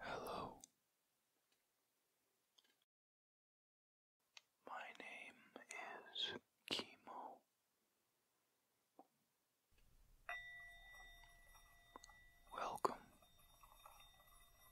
Hello. My name is Chemo. Welcome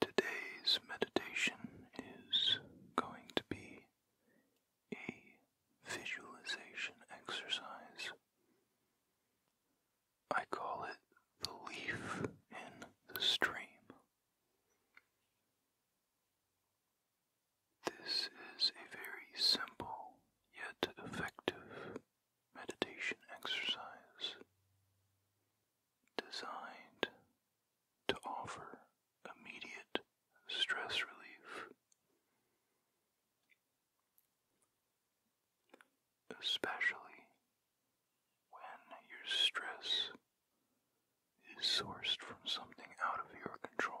Today's meditation is going to be a visualization exercise. I call it the leaf in the stream. This is a very simple yet effective meditation exercise designed to offer immediate stress relief, especially when your stress is sourced from something out of your control.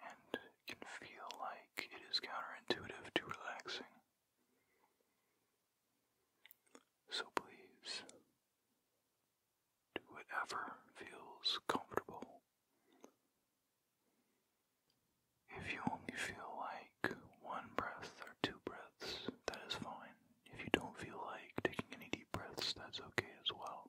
and can feel like it is counterintuitive to relaxing. So please, do whatever feels comfortable. If you only feel like one breath or two breaths, that is fine. If you don't feel like taking any deep breaths, that's okay as well.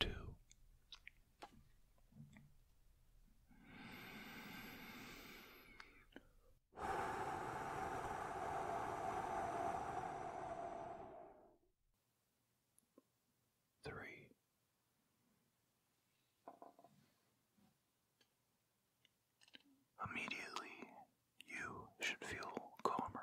two. Three, immediately you should feel calmer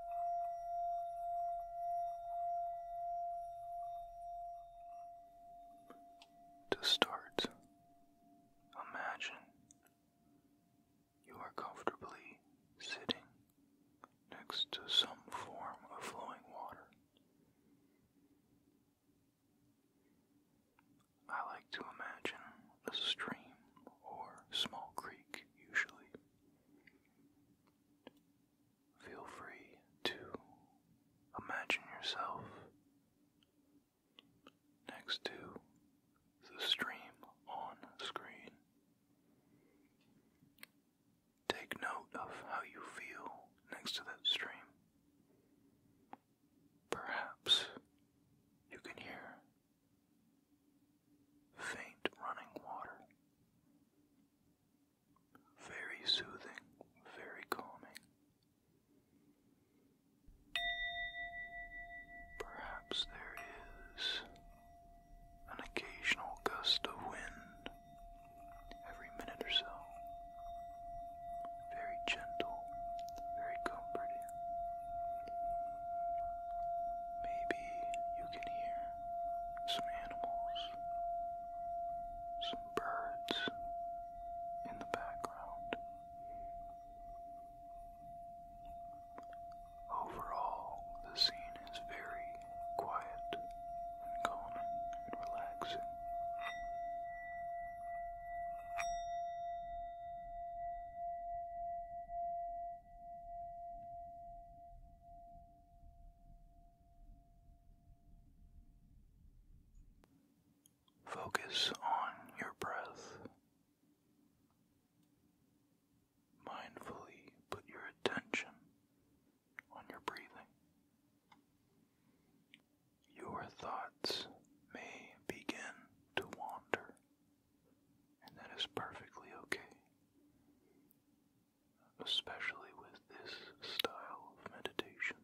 To start, imagine you are comfortably sitting next to some form of flowing water. I like to imagine a stream or small creek, usually. Feel free to imagine yourself next to the stream on screen. Take note of how you feel next to that stream. Perhaps you can hear faint running water. Very soothing, very calming. Perhaps there is an occasional gust of wind every minute or so. Very gentle, very comforting. Maybe you can hear some animals, some birds in the background. Overall, the scene is very quiet and calming and relaxing. Focus on your breath. Mindfully put your attention on your breathing. Your thoughts may begin to wander and that is perfectly okay. Especially with this style of meditation.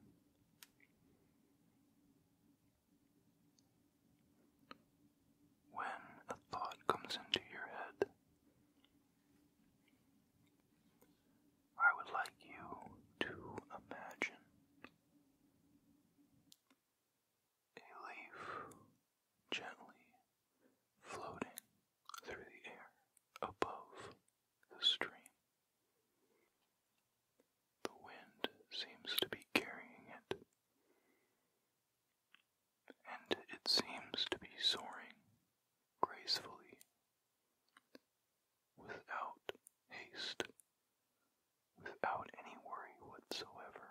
When a thought comes into your head, I would like you to imagine a leaf gently floating through the air above the stream. The wind seems to be carrying it, and it seems to be soaring gracefully without haste. Without any worry whatsoever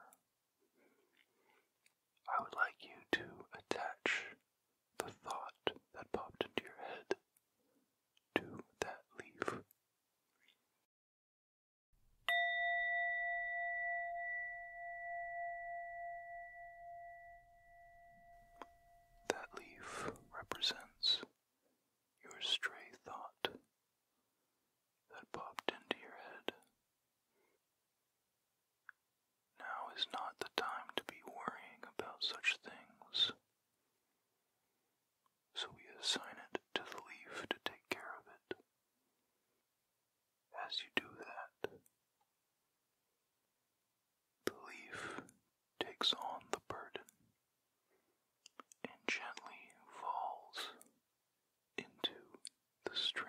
I would like you to attach the thought that popped into your head to that leaf. That leaf represents your stray thought that popped into your head. Now is not the time to be worrying about such things. So we assign it to the leaf to take care of it. As you do that, the leaf takes on the burden and gently falls into the stream.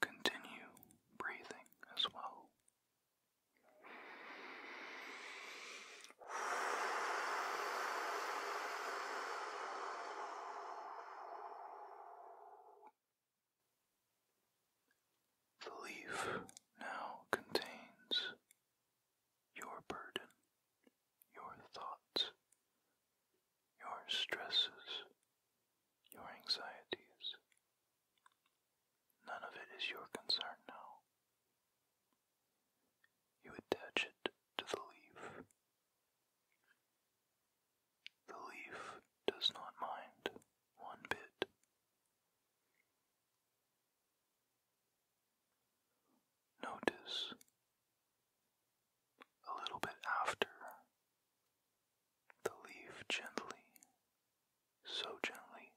Continue breathing as well. The leaf now contains your burden, your thoughts, your stresses, your anxieties. None of it is your concern now. You attach it to the leaf. The leaf does not mind one bit. Notice a little bit after the leaf gently, so gently,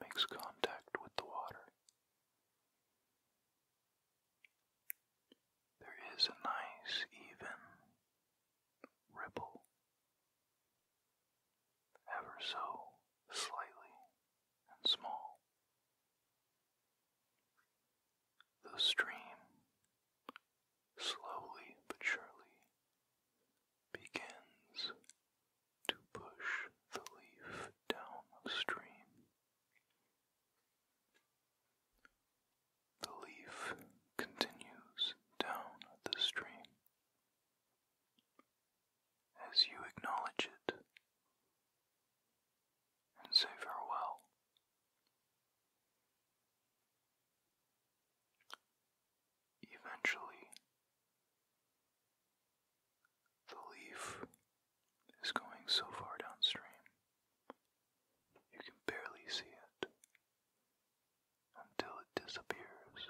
makes contact with the water. There is a nice, even ripple ever so slightly and small. The stream slowly but surely begins to push the leaf downstream. The leaf continues down the stream as you acknowledge it and say farewell. Eventually, the leaf is going so far downstream you can barely see it until it disappears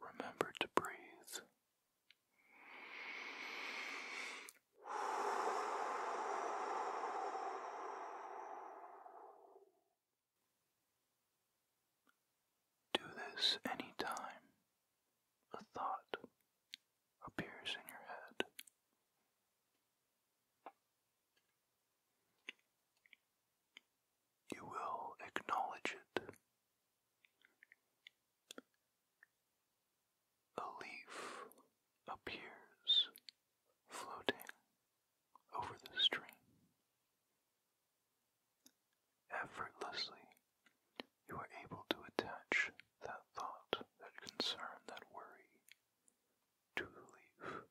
Remember to breathe. Do this anytime a thought appears in your head. You will acknowledge it. A leaf appears floating over the stream. Effortlessly, you are able to attach that thought, that concern, that worry to relief.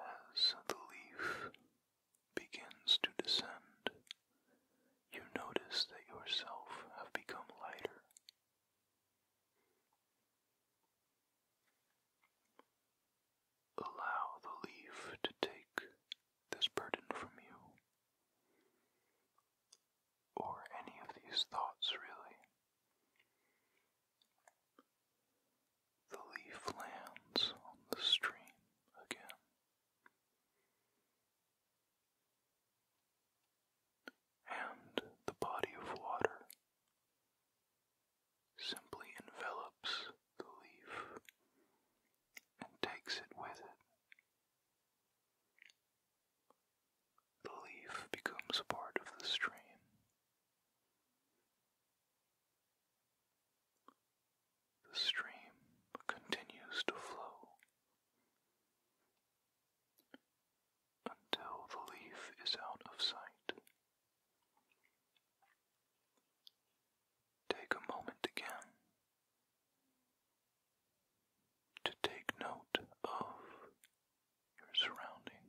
As the leaf begins to descend, you notice that yourself have become lighter. Allow the leaf to take this burden from you or any of these thoughts, really. The leaf lands on the stream again. And the body of water simply envelops the leaf and takes it with it the leaf becomes part of the stream. The stream continues to flow until the leaf is out of sight. Take a moment again to take note of your surroundings.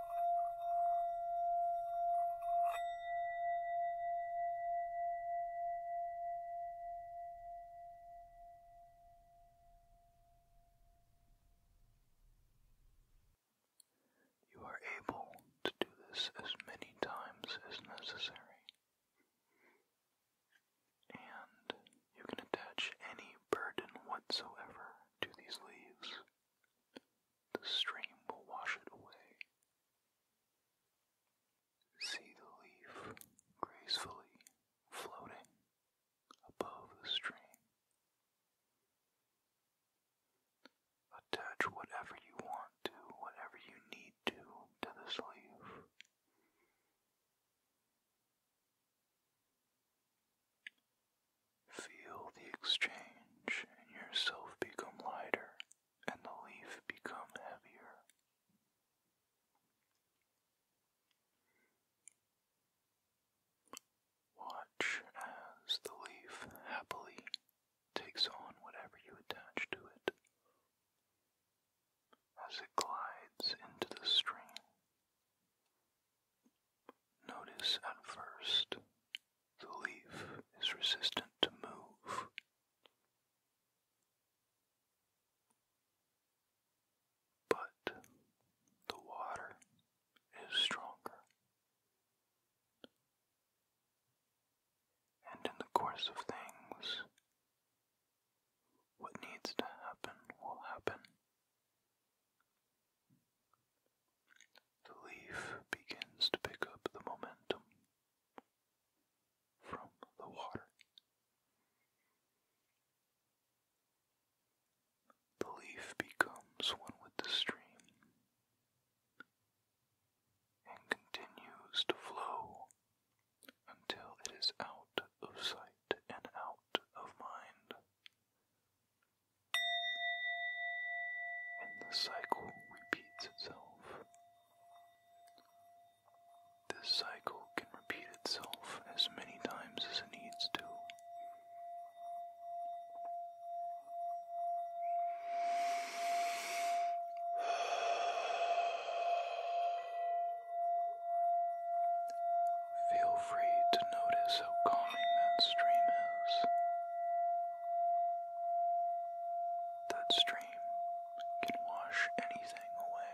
You are able to do this as many times as necessary, and you can attach any burden whatsoever to these leaves the stream will wash it away. See the leaf gracefully floating above the stream. Attach whatever you want to, whatever you need to, to this leaf. Feel the exchange and yourself become lighter and the leaf become heavier. Watch as the leaf happily takes on whatever you attach to it as it glides into the stream. Notice at first the leaf is resistant to move. But the water is stronger. And in the course of things, what needs to happen will happen. The leaf begins to pick up the momentum from the water. The leaf becomes one with the stream and continues to flow until it is out of sight and out of mind and the cycle repeats itself. This cycle can repeat itself as many times as it needs to. Feel free to notice how calming that stream is. That stream can wash anything away.